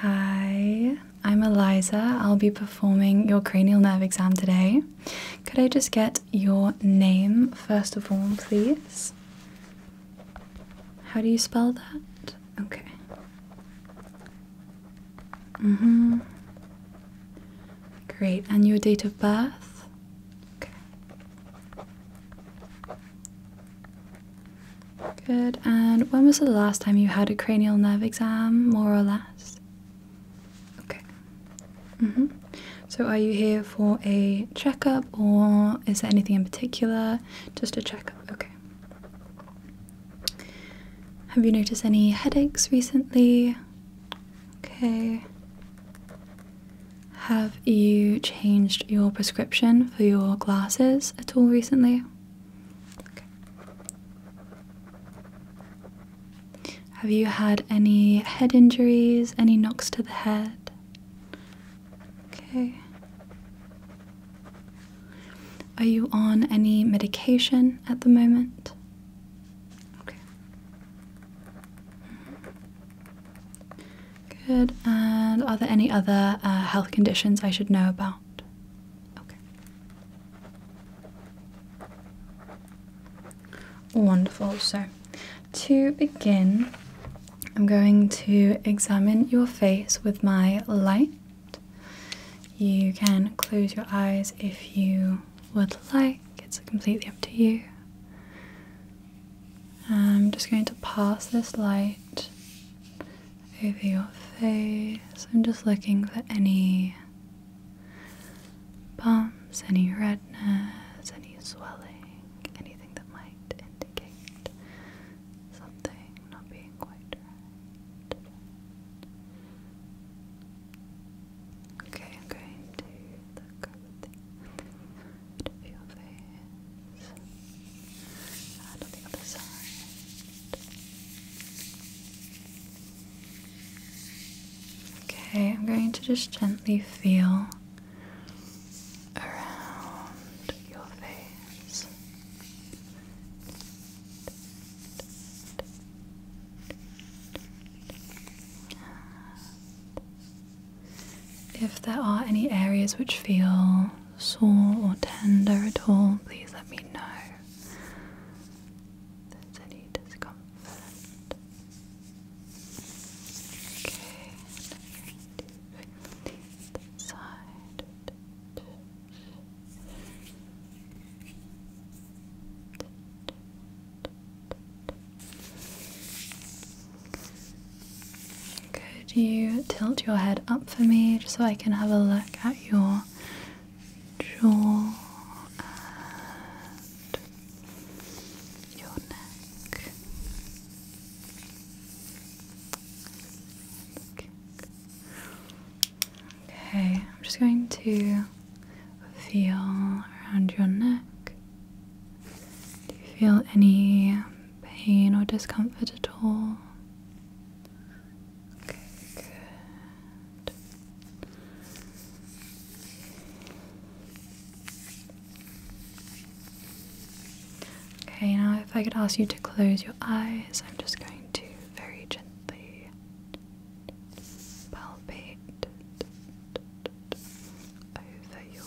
Hi, I'm Eliza. I'll be performing your cranial nerve exam today. Could I just get your name first of all, please? How do you spell that? Okay. Mm hmm. Great. And your date of birth? Okay. Good. And when was the last time you had a cranial nerve exam, more or less? Okay. Mm hmm So are you here for a checkup or is there anything in particular? Just a checkup. Okay. Have you noticed any headaches recently? Okay. Have you changed your prescription for your glasses at all recently? Have you had any head injuries? Any knocks to the head? Okay. Are you on any medication at the moment? Okay. Good. And are there any other uh, health conditions I should know about? Okay. Wonderful. So, to begin, I'm going to examine your face with my light. You can close your eyes if you would like, it's completely up to you. I'm just going to pass this light over your face. I'm just looking for any bumps, any redness, any swelling, anything that might indicate something not being quite right. Okay, I'm going to look over your face. Okay, I'm going to just gently feel around your face. If there are any areas which feel sore or tender at all, please let me know there's any discomfort. Okay, and side. Could you tilt your head up for me just so I can have a look at your jaw and your neck? Okay, I'm just going to feel around your neck. Do you feel any pain or discomfort at all? Okay, Okay, now if I could ask you to close your eyes, I'm just going to very gently palpate over your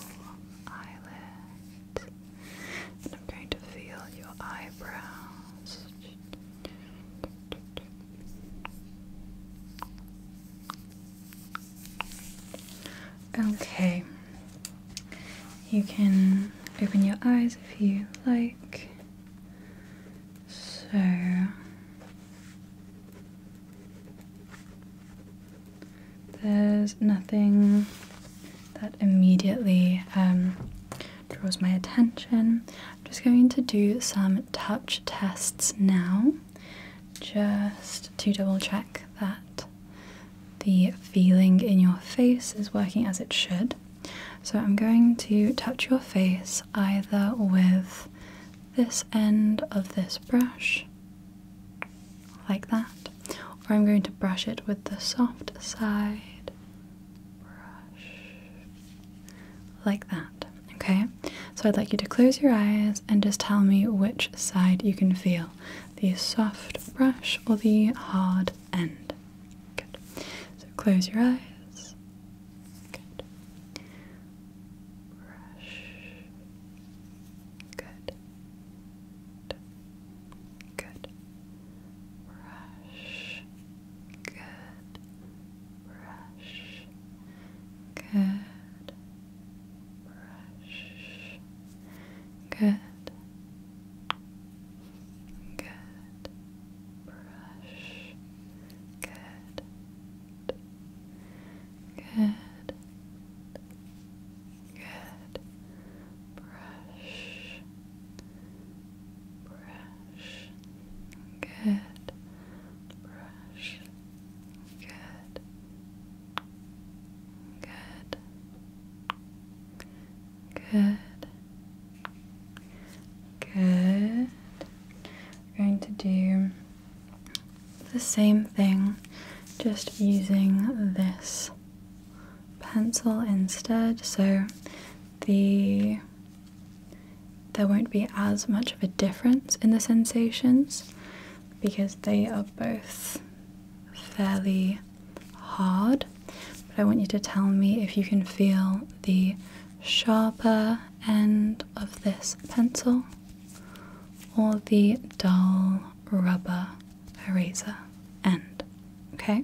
eyelids. And I'm going to feel your eyebrows. Okay, you can open your eyes if you like. So, there's nothing that immediately um, draws my attention. I'm just going to do some touch tests now, just to double check that the feeling in your face is working as it should. So I'm going to touch your face either with this end of this brush, like that, or I'm going to brush it with the soft side, like that. Okay, so I'd like you to close your eyes and just tell me which side you can feel the soft brush or the hard end. Good. So close your eyes. Good. Good. Brush. Good. Brush. Good. Brush. Good. Good. Brush. Good. Good. Good brush, brush, good, brush, good, good, good, good. We're going to do the same thing, just using this pencil instead. So the there won't be as much of a difference in the sensations because they are both fairly hard. But I want you to tell me if you can feel the sharper end of this pencil or the dull rubber eraser end. Okay?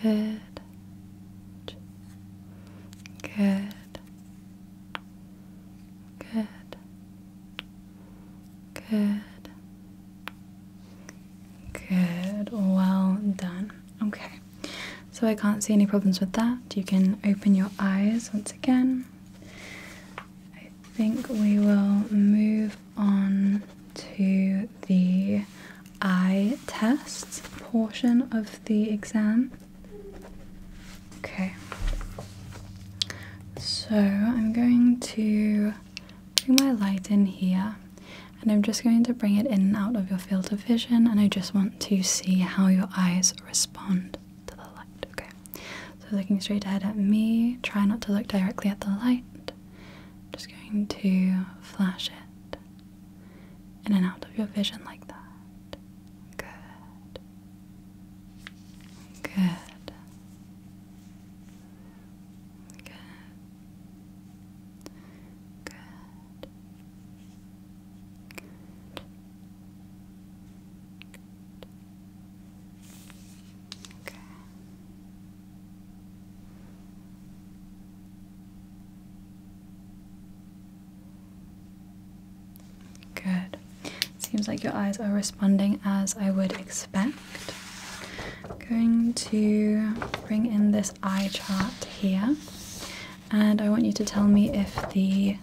Good. Good. Good. Good. Good. Well done. Okay. So I can't see any problems with that. You can open your eyes once again. I think we will move on to the eye test portion of the exam. Okay, so I'm going to bring my light in here and I'm just going to bring it in and out of your field of vision, and I just want to see how your eyes respond to the light. Okay, so looking straight ahead at me, try not to look directly at the light. just going to flash it in and out of your vision like that. Good. Good. Good. Good. Good. Okay. Good. Seems like your eyes are responding as I would expect. I'm going to bring in this eye chart here, and I want you to tell me if the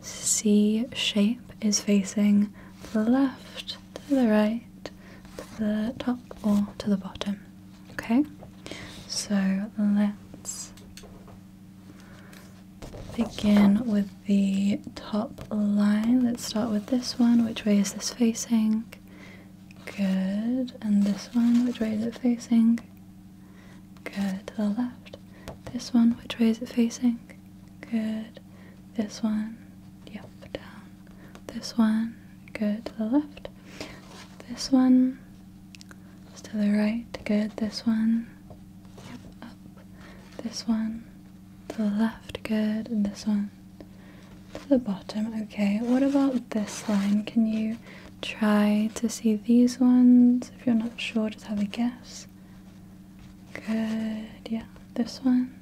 C shape is facing to the left, to the right, to the top, or to the bottom. Okay, so let's begin with the top line. Let's start with this one. Which way is this facing? Good. And this one, which way is it facing? Good. To the left. This one, which way is it facing? Good. This one, yep, down. This one, good. To the left. This one is to the right. Good. This one. Up. This one. To the left. Good. this one. To the bottom. Okay. What about this line? Can you try to see these ones? If you're not sure, just have a guess. Good. Yeah. This one.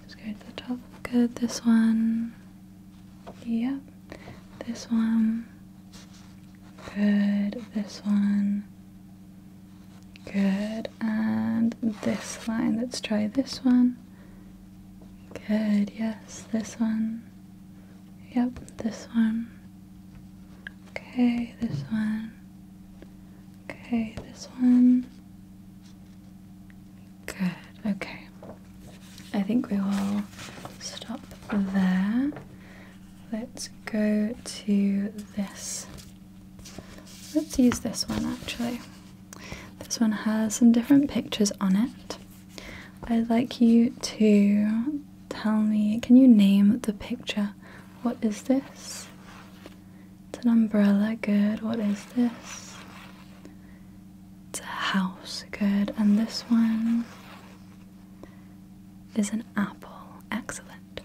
Let's go to the top. Good. This one. Yep. This one. Good. This one. Good. And this line. Let's try this one. Good. Yes. This one. Yep. This one. Okay. This one. Okay. This one. Good, okay. I think we will stop there. Let's go to this. Let's use this one actually. This one has some different pictures on it. I'd like you to tell me can you name the picture? What is this? It's an umbrella, good. What is this? It's a house, good. And this one is an apple, excellent.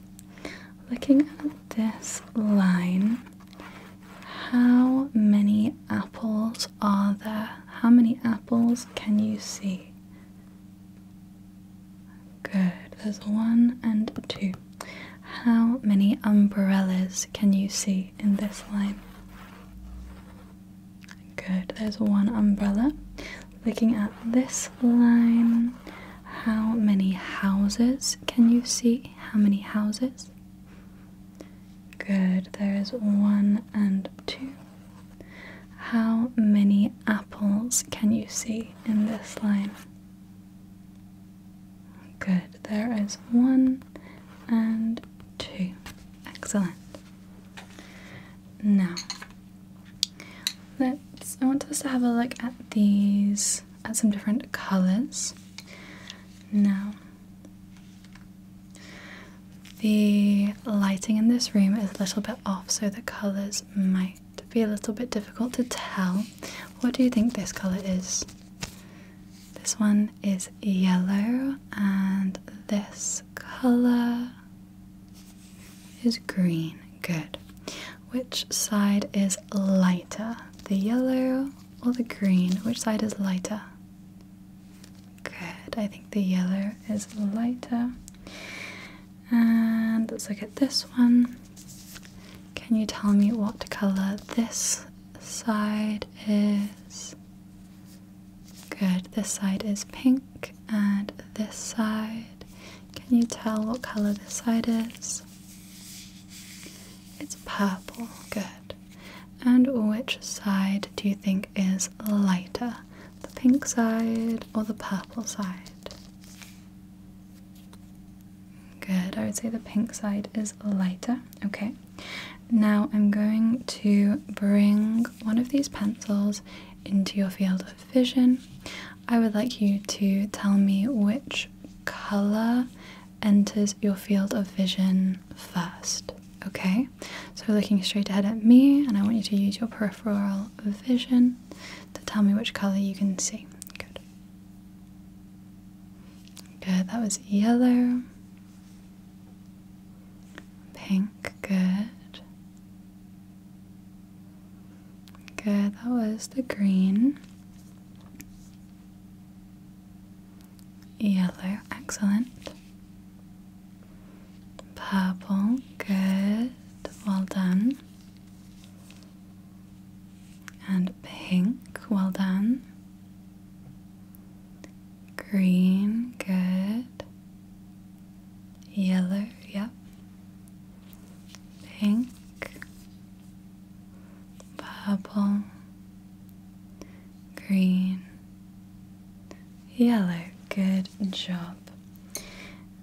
Looking at this line, how many apples are there? How many apples can you see? Good, there's one and two. How many umbrellas can you see in this line? Good, there's one umbrella. Looking at this line, how many houses can you see? How many houses? Good, there is one and two. How many apples can you see in this line? Good, there is one and two. Excellent. Now, let's. I want us to have a look at these, at some different colours. Now, the lighting in this room is a little bit off, so the colours might be a little bit difficult to tell. What do you think this colour is? This one is yellow, and this color is green. Good. Which side is lighter? The yellow or the green? Which side is lighter? Good. I think the yellow is lighter. And let's look at this one. Can you tell me what color this side is? Good. This side is pink, and this side. Can you tell what color this side is? It's purple. Good. And which side do you think is lighter? The pink side or the purple side? Good, I would say the pink side is lighter. Okay now I'm going to bring one of these pencils into your field of vision. I would like you to tell me which color enters your field of vision first. Okay, so looking straight ahead at me, and I want you to use your peripheral vision to tell me which color you can see. Good. Good, that was yellow. Pink, good. Good, that was the green. Yellow, excellent. Purple, good, well done. And pink, well done. Green, good. Yellow, yep. Pink, purple, green, yellow. Good job.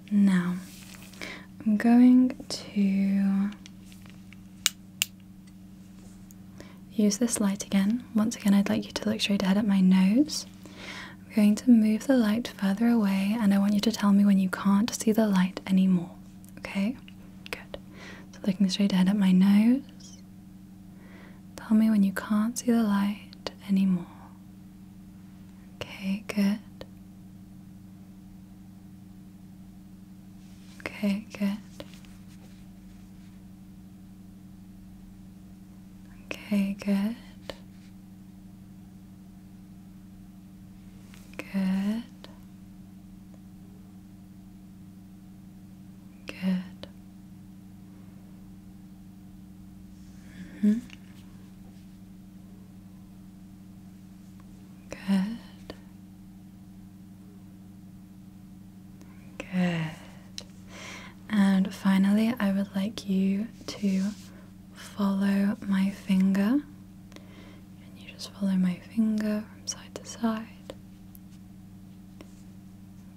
Now, I'm going to Use this light again. Once again, I'd like you to look straight ahead at my nose. I'm going to move the light further away, and I want you to tell me when you can't see the light anymore. Okay? Good. So, looking straight ahead at my nose. Tell me when you can't see the light anymore. Okay, good. Okay, good. Okay, good. Good. Good. Mm-hmm. Good. Good. And finally, I would like you to follow my finger. And you just follow my finger from side to side.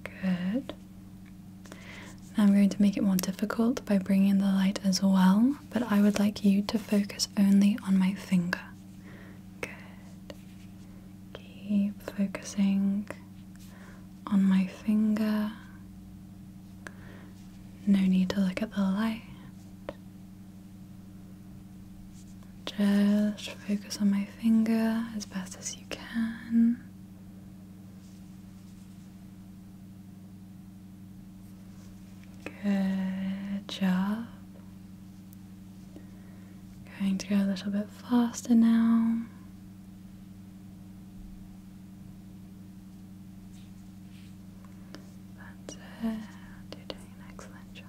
Good. I'm going to make it more difficult by bringing the light as well, but I would like you to focus only on my finger. Good. Keep focusing on my finger. No need to look at the light. Just focus on my finger as best as you can. Good job. Going to go a little bit faster now. That's it. excellent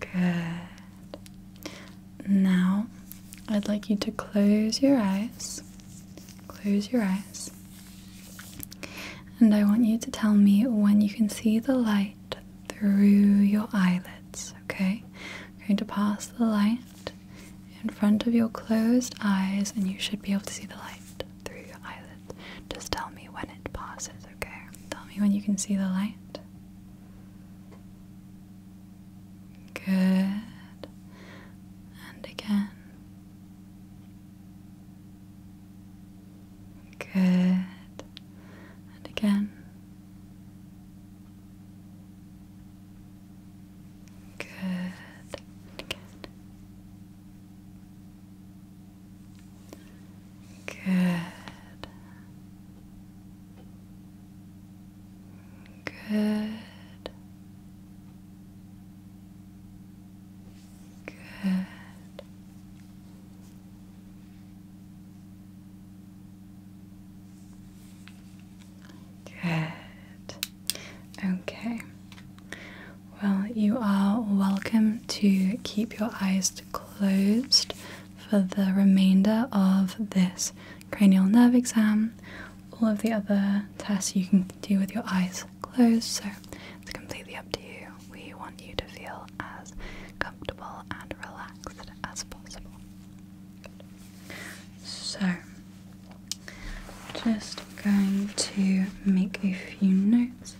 Good. Now, I'd like you to close your eyes. Close your eyes. And I want you to tell me when you can see the light through your eyelids, okay? I'm going to pass the light in front of your closed eyes, and you should be able to see the light through your eyelids. Just tell me when it passes, okay? Tell me when you can see the light. Good. And again. Good. And again. Good. And again. Good. Good. Good. Good. Okay. Well, you are welcome to keep your eyes closed for the remainder of this cranial nerve exam. All of the other tests you can do with your eyes close, so it's completely up to you. We want you to feel as comfortable and relaxed as possible. So, just going to make a few notes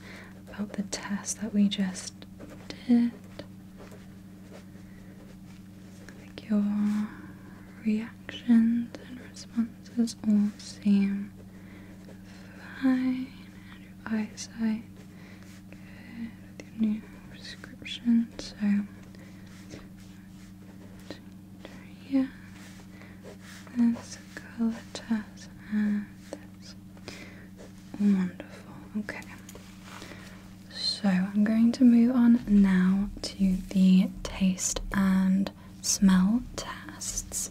about the test that we just did. I think your reactions and responses is all seem fine and your eyesight good your new prescription. So, yeah, that's color test, that's wonderful. Okay, so I'm going to move on now to the taste and smell tests.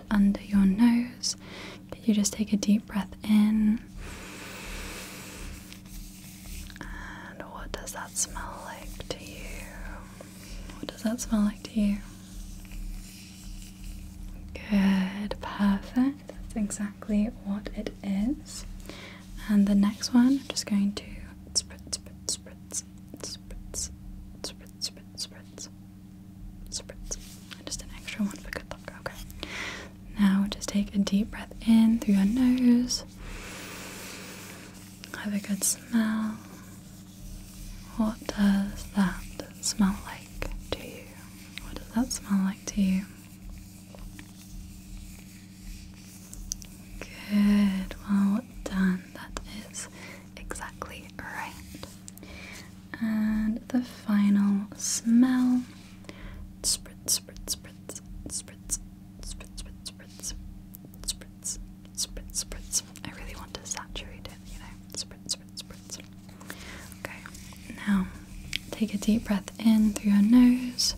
under your nose. Could you just take a deep breath in? And what does that smell like to you? What does that smell like to you? Good, perfect. That's exactly what it is. And the next one, I'm just going to spritz, spritz, spritz, spritz, spritz, spritz, spritz, spritz, And just an extra one for good luck. Okay. Now just take a deep breath in through your nose. Have a good smell. What does that smell like to you? What does that smell like to you? Good, well done. That is exactly right. And the final smell. Spritz, spritz, spritz, spritz, spritz, spritz, spritz, spritz, spritz. I really want to saturate it, you know. Spritz, spritz, spritz. Okay, now take a deep breath in through your nose.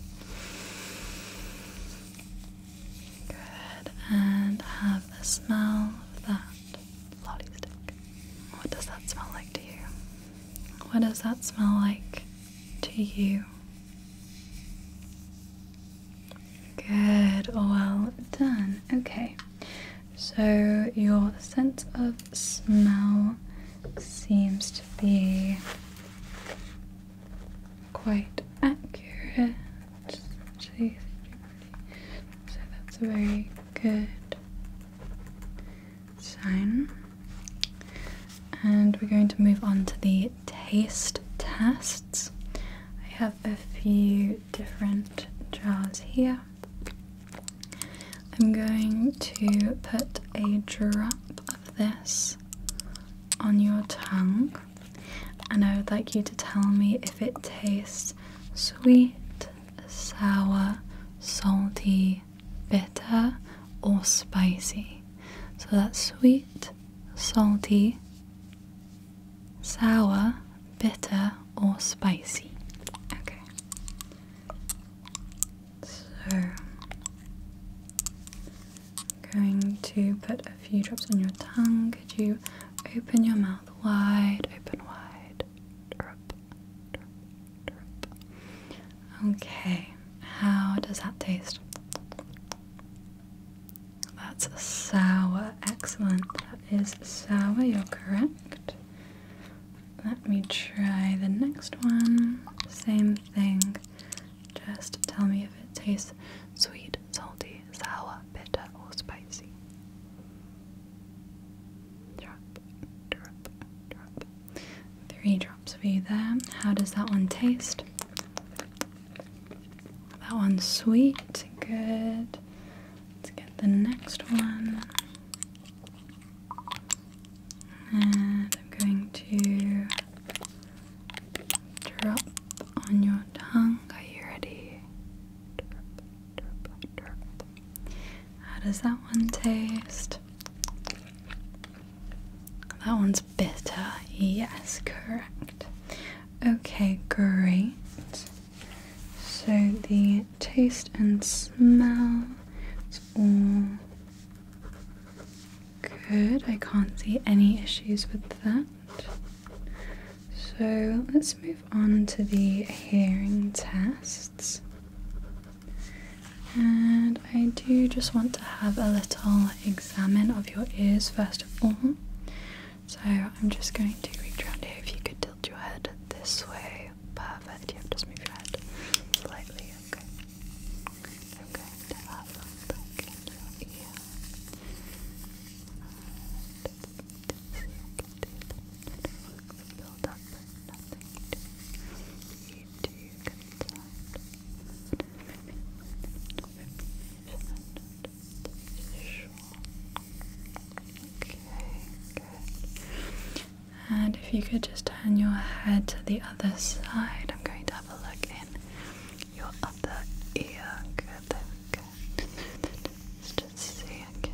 Good, and have a smell of that Lottie stick. What does that smell like to you? What does that smell like to you? Good, well done. Okay, so your sense of smell seems to be quite accurate. Jeez, so that's a very good sign. And we're going to move on to the taste tests. I have a few different jars here. I'm going to put a drop of this on your tongue and I would like you to tell me if it tastes sweet sour, salty, bitter, or spicy. So that's sweet, salty, sour, bitter, or spicy. Okay. So going to put a few drops on your tongue. Could you open your mouth wide, open wide? Okay, how does that taste? That's sour. Excellent. That is sour. You're correct. Let me try the next one. Same thing. Just tell me if it tastes sweet, salty, sour, bitter, or spicy. Three drops of you there. How does that one taste? That one's sweet. Good. Let's get the next one. And I'm going to drop on your tongue. Are you ready? How does that one taste? That one's bitter. Yes, correct. Okay, great. So the taste and smell is all good. I can't see any issues with that. So let's move on to the hearing tests. And I do just want to have a little examine of your ears first of all. So I'm just going to reach around here. If you could tilt your head this way, perfect. You have just move your head slightly, okay? I'm and if you could just turn your head to the other side, I'm going to have a look in your other ear. Good, Let's just see again.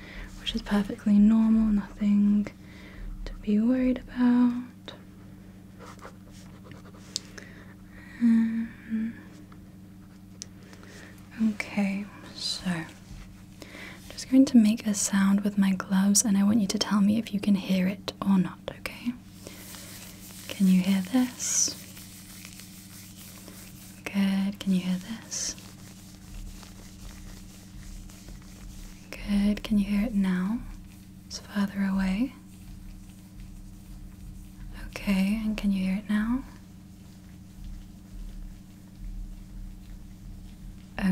which is perfectly normal, nothing to be worried about. Um, okay, so I'm just going to make a sound with my gloves, and I want you to tell me if you can hear it or not, okay? Can you hear this? Good, can you hear this? Good. Can you hear it now? It's further away. Okay, and can you hear it now?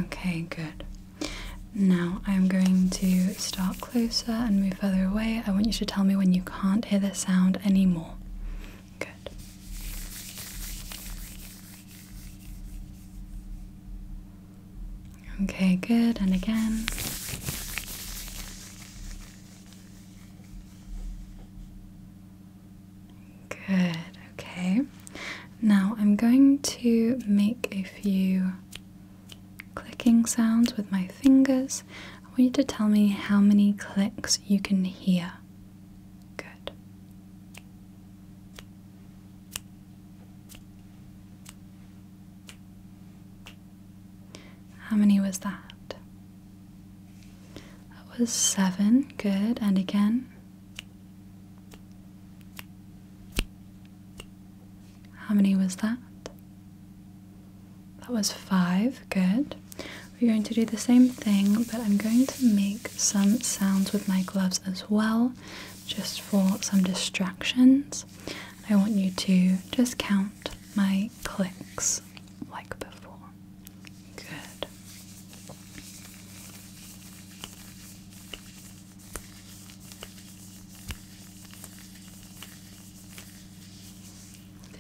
Okay, good. Now I'm going to start closer and move further away. I want you to tell me when you can't hear the sound anymore. Good. Okay, good, and again. Good, okay. Now I'm going to make a few clicking sounds with my fingers. I want you to tell me how many clicks you can hear. Good. How many was that? That was seven. Good. And again. How many was that? That was five. Good. We're going to do the same thing, but I'm going to make some sounds with my gloves as well, just for some distractions. I want you to just count my clicks like before. Good.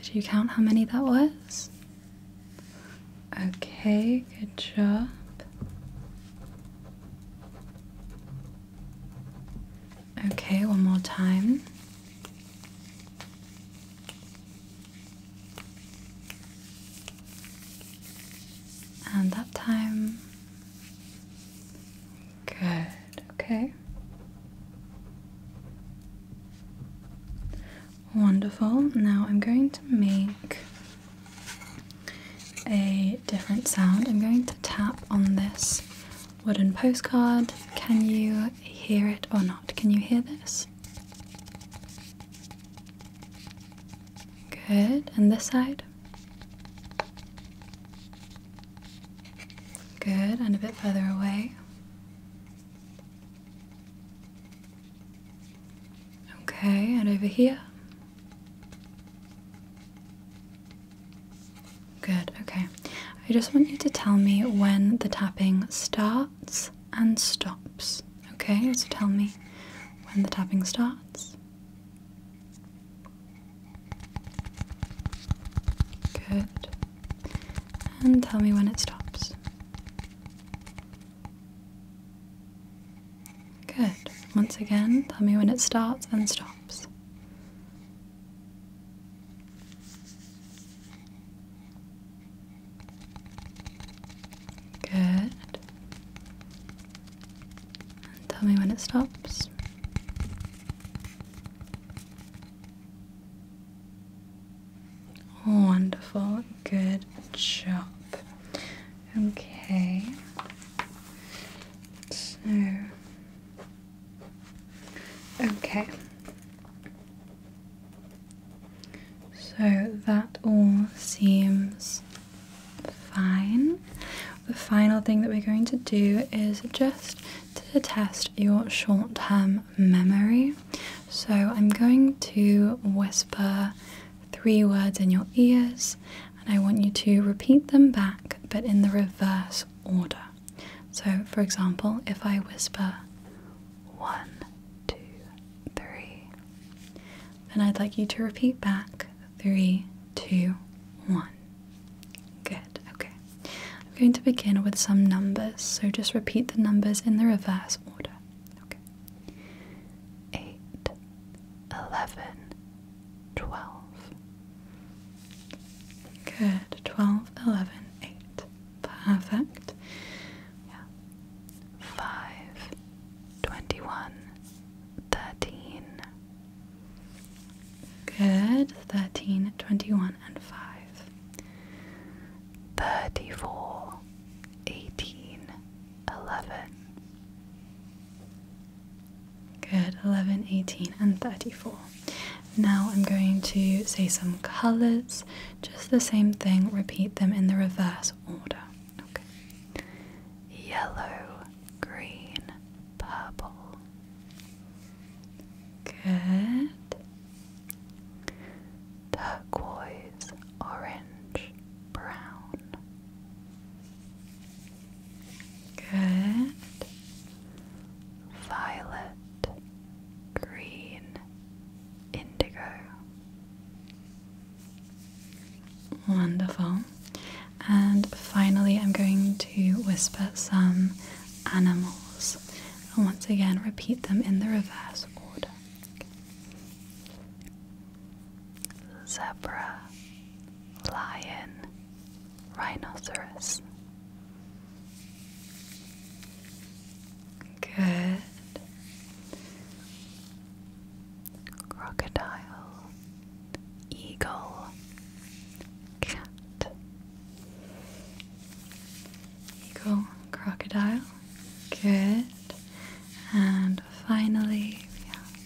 Did you count how many that was? Okay, good job. Okay, one more time. And that time. Good, okay. Wonderful. Now I'm going to make a different sound. I'm going to tap on this wooden postcard. Can you hear it or not? Can you hear this? Good. And this side? Good. And a bit further away. Okay, and over here? Good, okay. I just want you to tell me when the tapping starts and stops. Okay, so tell me when the tapping starts. Good. And tell me when it stops. Good. Once again, tell me when it starts and stops. Good. tell me when it stops. Wonderful. Good job. Okay. So Okay. So that all seems fine. The final thing that we're going to do is just to test your short term memory. So I'm going to whisper three words in your ears, and I want you to repeat them back but in the reverse order. So, for example, if I whisper one, two, three, then I'd like you to repeat back three, two, one. Good, okay. I'm going to begin with some numbers, so just repeat the numbers in the reverse order. Okay eight, eleven, twelve. Good. Twelve, eleven, eight. Perfect. Yeah. Five, twenty-one, thirteen. Good. Thirteen, twenty-one, and five. Thirty-four, eighteen, eleven, Good, 11, 18, and 34. Now I'm going to say some colours, just the same thing, repeat them in the reverse order. Okay. Yellow, green, purple. Good. Turquoise, orange, brown. Good. Violet, green, indigo. Wonderful. And finally, I'm going to whisper some animals. And once again, repeat them in the reverse order zebra, lion, rhinoceros. Good. Crocodile, eagle, cat. Eagle, crocodile. Good and finally we have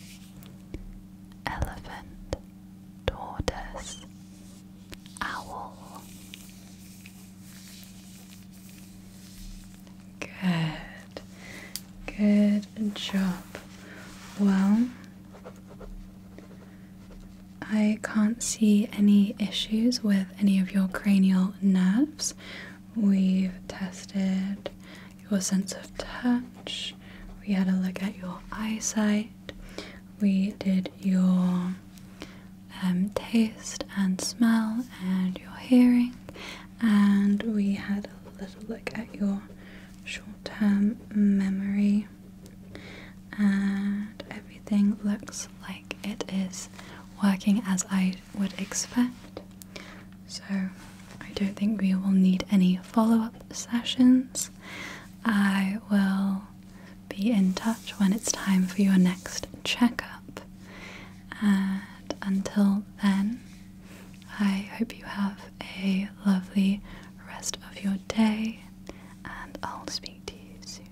elephant, tortoise, owl. Good, good job. Well, I can't see any issues with any of your cranial nerves. We've tested your sense of touch. We had a look at your eyesight. We did your um, taste and smell and your hearing. And we had a little look at your short term memory. And everything looks like it is working as I would expect. So, I don't think we will need any follow up sessions. I will be in touch when it's time for your next checkup. And until then, I hope you have a lovely rest of your day, and I'll speak to you soon.